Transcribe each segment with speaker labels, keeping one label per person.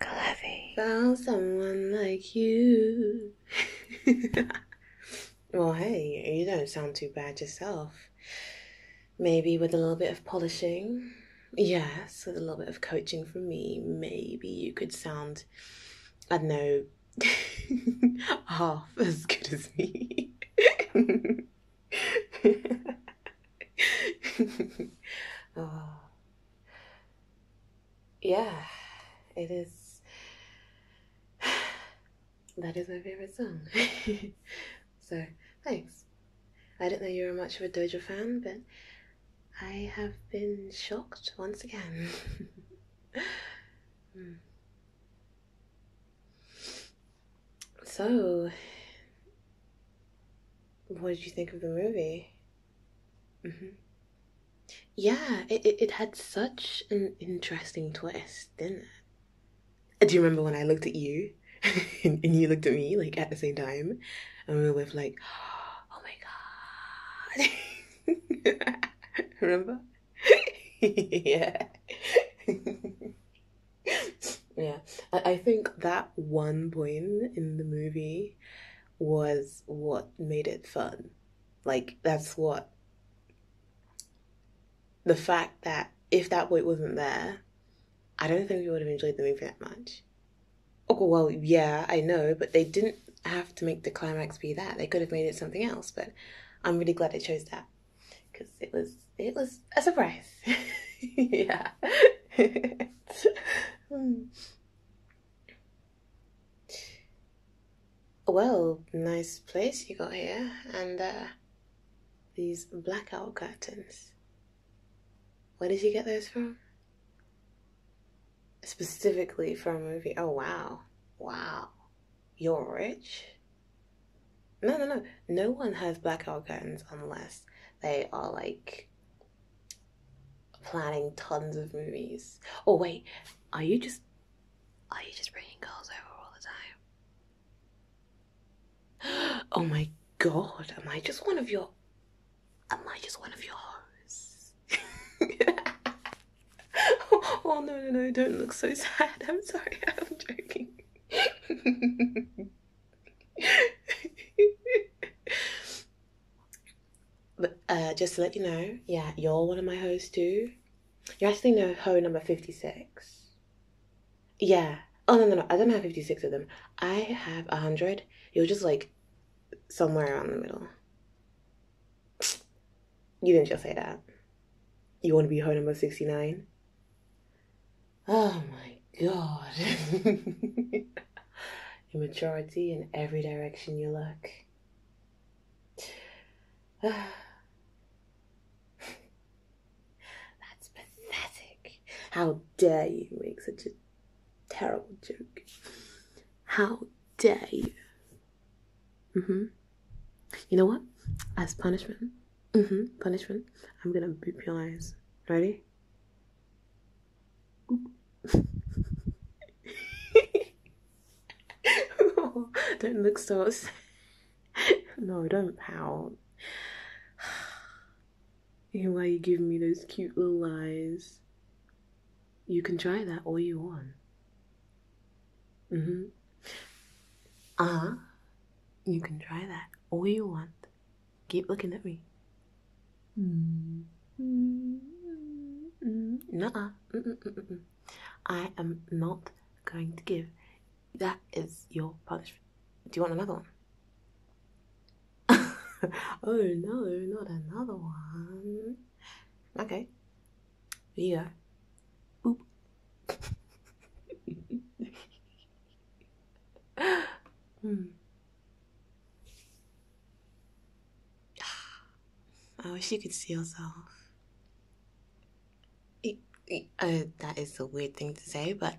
Speaker 1: Clevy. Found someone like you. well, hey, you don't sound too bad yourself. Maybe with a little bit of polishing.
Speaker 2: Yes,
Speaker 1: with a little bit of coaching from me, maybe you could sound, I don't know, half as good as me. oh. Yeah, it is. That is my favorite song. so, thanks. I didn't know you were much of a Doja fan, but I have been shocked once again. Hmm.
Speaker 2: So,
Speaker 1: what did you think of the movie? Mm-hmm. Yeah, it, it, it had such an interesting twist, Do you remember when I looked at you and, and you looked at me like at the same time, and we were both like, "Oh my god!" remember? yeah yeah, I, think that one point in the movie was what made it fun. Like, that's what the fact that if that point wasn't there, I don't think we would have enjoyed the movie that much. Oh, well, yeah, I know, but they didn't have to make the climax be that. They could have made it something else, but I'm really glad they chose that because it was it was a surprise. yeah. Hmm. Well, nice place you got here, and uh, these blackout curtains. Where did you get those from? Specifically for a movie. Oh, wow. Wow. You're rich? No, no, no. No one has blackout curtains unless they are like planning tons of movies. Oh wait, are you just are you just bringing girls over all the time? Oh my god, am I just one of your am I just one of your hoes? oh no no no, don't look so sad. I'm sorry, I'm joking but, uh, just to let you know, yeah, you're one of my hoes too. you actually know hoe number 56. Yeah. Oh, no, no, no. I don't have 56 of them. I have 100. You're just like somewhere around the middle. You didn't just say that. You want to be hoe number 69? Oh my god. Immaturity in every direction you look. That's pathetic. How dare you make such a terrible joke? How dare you? Mm hmm. You know what? As punishment, Mm-hmm. Punishment. I'm gonna boop your eyes. Ready? don't look so upset. No, don't pout. You know why you give me those cute little eyes? You can try that all you want. Mm-hmm. Uh You can try that all you want. Keep looking at me. Mm. Mm. Mm. mm I am not going to give. That is your punishment. Do you want another one? oh no, not another one. Okay. Here Boop. Hmm. I wish you could see yourself. It, oh, that is a weird thing to say, but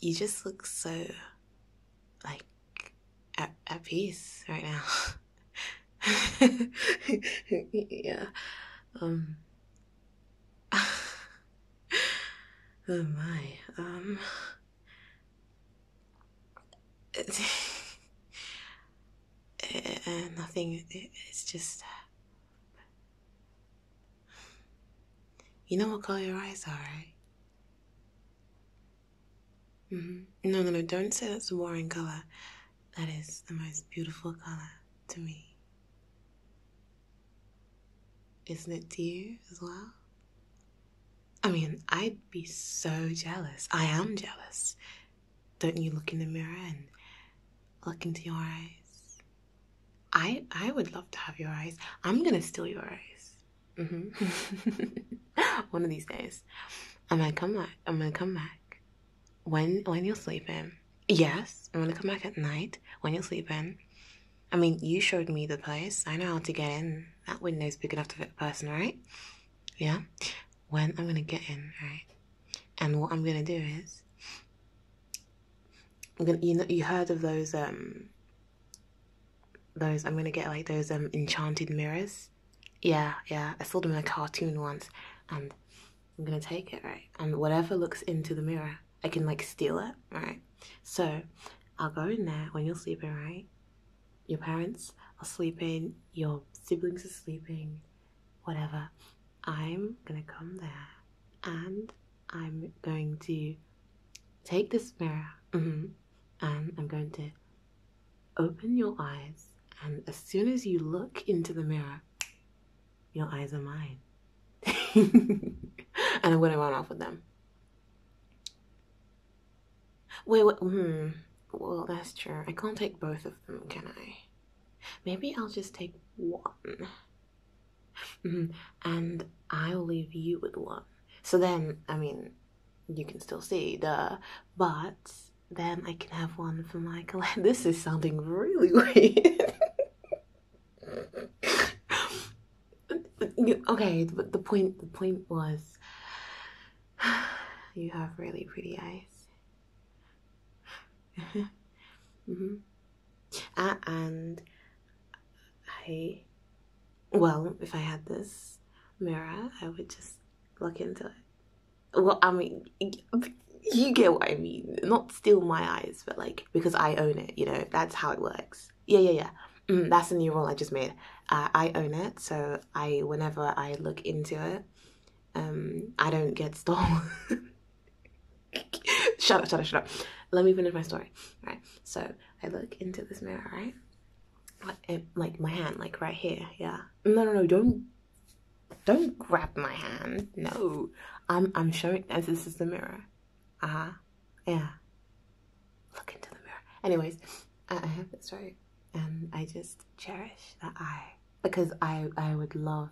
Speaker 1: you just look so like at, at peace right now. yeah. Um, oh my, um. Uh, nothing, it's just. Uh, you know what color your eyes are, right? Mm -hmm. No, no, no, don't say that's a boring color. That is the most beautiful color to me. Isn't it dear? as well? I mean, I'd be so jealous. I am jealous. Don't you look in the mirror and look into your eyes? I I would love to have your eyes. I'm gonna steal your eyes. Mm-hmm. One of these days, I'm gonna come back. I'm gonna come back when when you're sleeping. Yes, I'm gonna come back at night when you're sleeping. I mean, you showed me the place. I know how to get in. That window's big enough to fit a person, right? Yeah. When I'm gonna get in, right? And what I'm gonna do is, I'm gonna you know you heard of those um those I'm gonna get like those um enchanted mirrors. Yeah, yeah. I saw them in a cartoon once, and I'm gonna take it, right? And whatever looks into the mirror, I can like steal it, right? So I'll go in there when you're sleeping, right? Your parents are sleeping, your siblings are sleeping, whatever. I'm gonna come there and I'm going to take this mirror mm-hmm, and I'm going to open your eyes. And as soon as you look into the mirror, your eyes are mine. and I'm gonna run off with them. Wait, wait, hmm. Well, that's true. I can't take both of them, can I? Maybe I'll just take one. Mm-hmm. and I'll leave you with one. So then, I mean, you can still see, the But then I can have one for my collection. This is sounding really weird. okay, but the point the point was you have really pretty eyes. mm-hmm. Uh, and I, well, if I had this mirror, I would just look into it well, I mean, you get what I mean. Not steal my eyes, but like because I own it. You know, that's how it works. Yeah, yeah, yeah. Mm, that's a new rule I just made. Uh, I own it, so I whenever I look into it, um, I don't get stolen. shut up, shut up, shut up. Let me finish my story. All right, so I look into this mirror, right? Like, eh, like my hand, like right here. Yeah. No, no, no. Don't don't grab my hand. No. I'm I'm showing as this is the mirror. Uh-huh. Yeah. Look into the mirror. Anyways, I, have this right. And I just cherish that eye. Because I I would love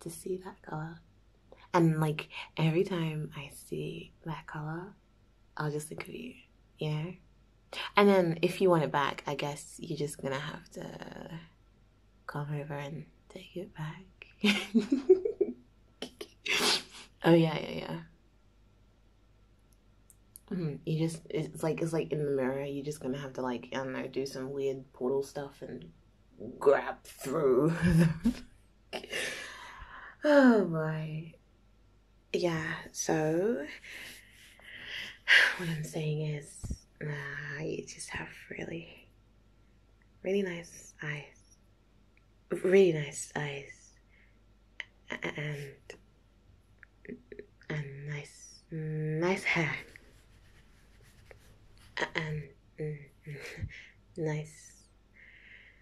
Speaker 1: to see that colour. And like every time I see that colour, I'll just look at you, you know? And then if you want it back, I guess you're just gonna have to come over and take it back. oh yeah, yeah, yeah. Mm-hmm. you just it's like it's like in the mirror. You're just gonna have to like I don't know do some weird portal stuff and grab through. oh my yeah, so what I'm saying is, ah, you just have really, really nice eyes. Really nice eyes. And, and nice, nice hair. And nice,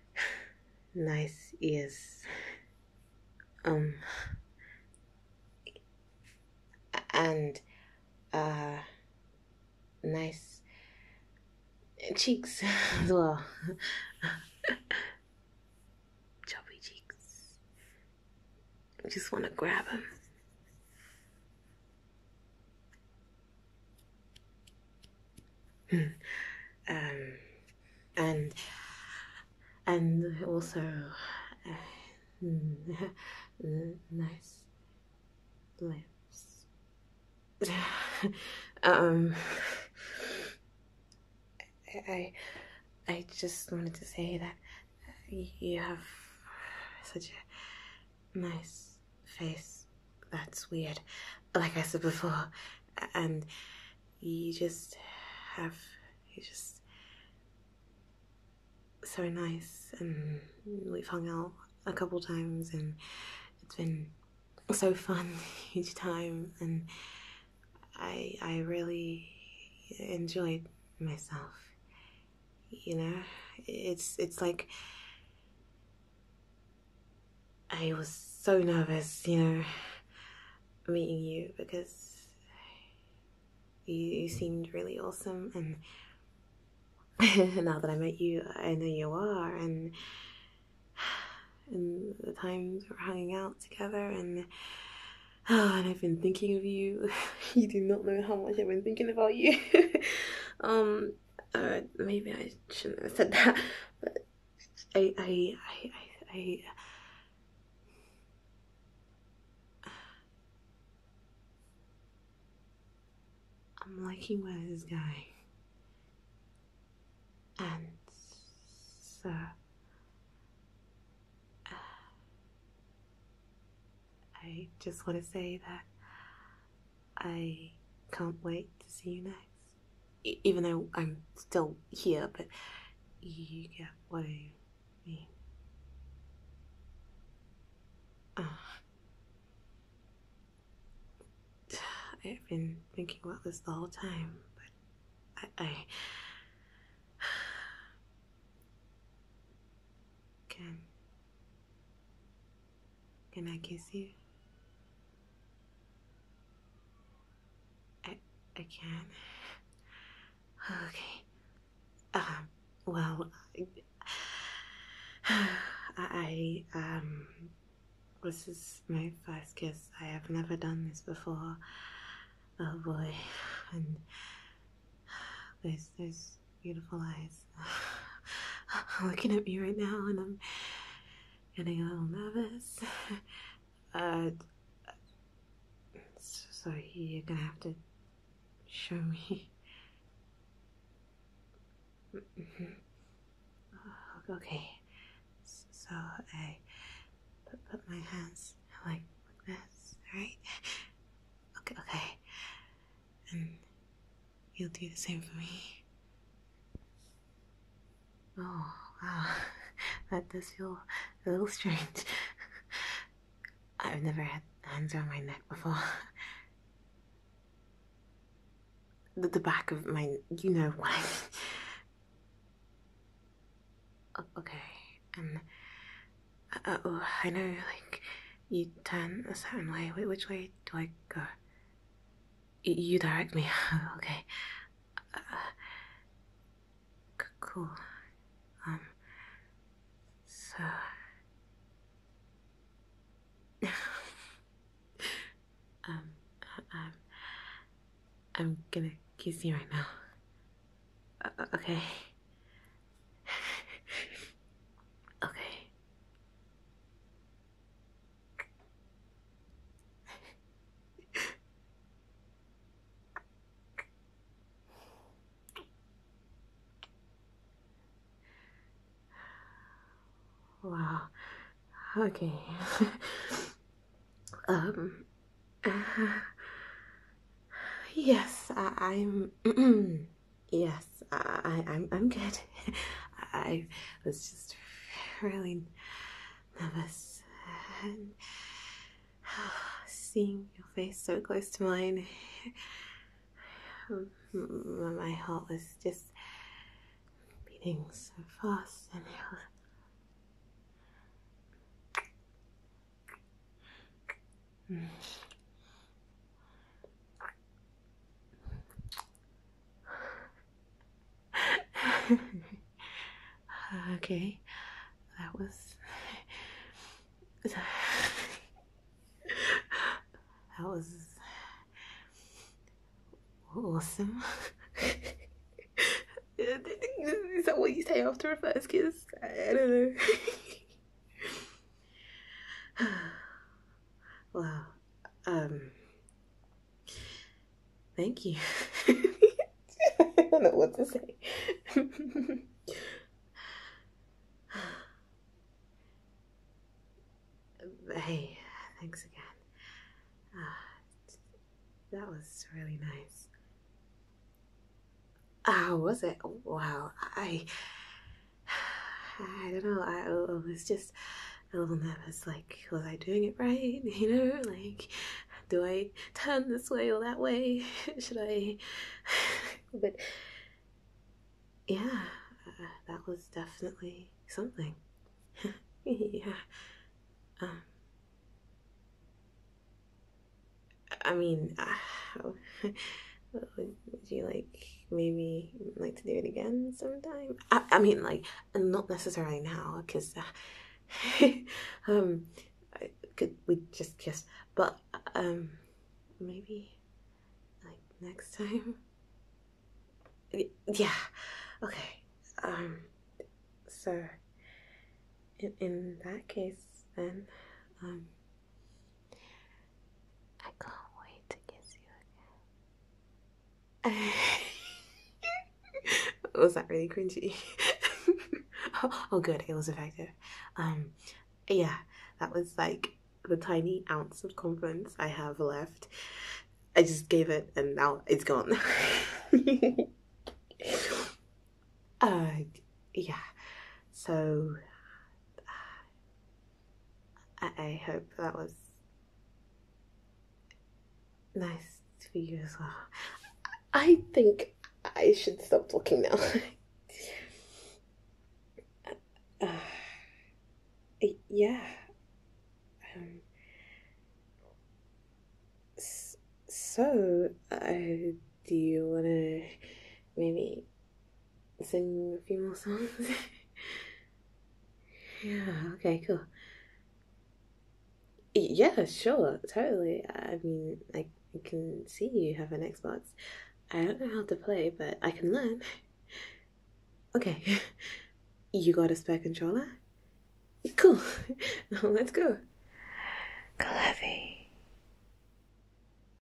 Speaker 1: nice ears. Um, and uh, nice cheeks as Chubby cheeks. I just want to grab him. Hmm. um, and and also uh, nice lips. Um, I I just wanted to say that you have such a nice face. That's weird. Like I said before, and you just have you just so nice and we've hung out a couple times and it's been so fun each time and I I really enjoyed myself you know it's it's like I was so nervous you know meeting you because you, seemed really awesome and now that I met you, I know you are, and the times we're hanging out together, and and I've been thinking of you. you do not know how much I've been thinking about you. um, uh, maybe I shouldn't have said that, but I, I, I, I, I I'm liking where this is going. And uh, I just want to say that I can't wait to see you next even though I'm still here, but you get what I mean. Ah. I've been thinking about this the whole time, but I, I can. Can I kiss you? I, I can. Okay. Um, well, I, um, this is my first kiss. I have never done this before. Oh boy. And those, those beautiful eyes. looking at me right now and I'm getting a little nervous. uh, so you're gonna have to show me. Oh, okay, so I put my hands like this, All right. Okay, okay, and you'll do the same for me. Oh, wow. Ah, that does feel a little strange. I've never had hands around my neck before. The, the back of my, you know what Okay, and um, uh, uh, oh, I know, like, you turn a certain way. Wait, which way do I go? You direct me. okay. Uh, cool. Um, so. um, I'm, gonna kiss you right now. Uh, okay. okay wow. Okay. um. yes, I, am yes, I, I'm. I'm good. I. I was just really nervous and seeing your face so close to mine um, my heart was just beating so fast okay, that was that was awesome. Is that what you say after a first kiss? I don't know. Wow. um, thank you. I don't know what to say. hey, thanks again. that was really nice. Ah, oh, was it? Wow, I I don't know. I, was just a little nervous. Like, was I doing it right? You know, like, do I turn this way or that way? Should I? but yeah, uh, that was definitely something. yeah. Um. I mean, uh, would, you like maybe like to do it again sometime? I, I mean, like, not necessarily now, because uh, um, could we just just but um, maybe like next time. Yeah, okay. Um, so in, in that case, then, um. I can't wait to kiss you again. was that really cringy? oh, good, it was effective. Um, yeah, that was like the tiny ounce of confidence I have left. I just gave it, and now it's gone. uh, yeah. So, I, hope that was nice for you as well. I think I should stop talking now. Uh, yeah. Um, so, uh, do you want to maybe sing a few more songs. yeah, okay, cool. Yeah, sure, totally. I mean, I can see you have an Xbox. I don't know how to play, but I can learn. Okay, you got a spare controller? Cool, let's go. Clevy.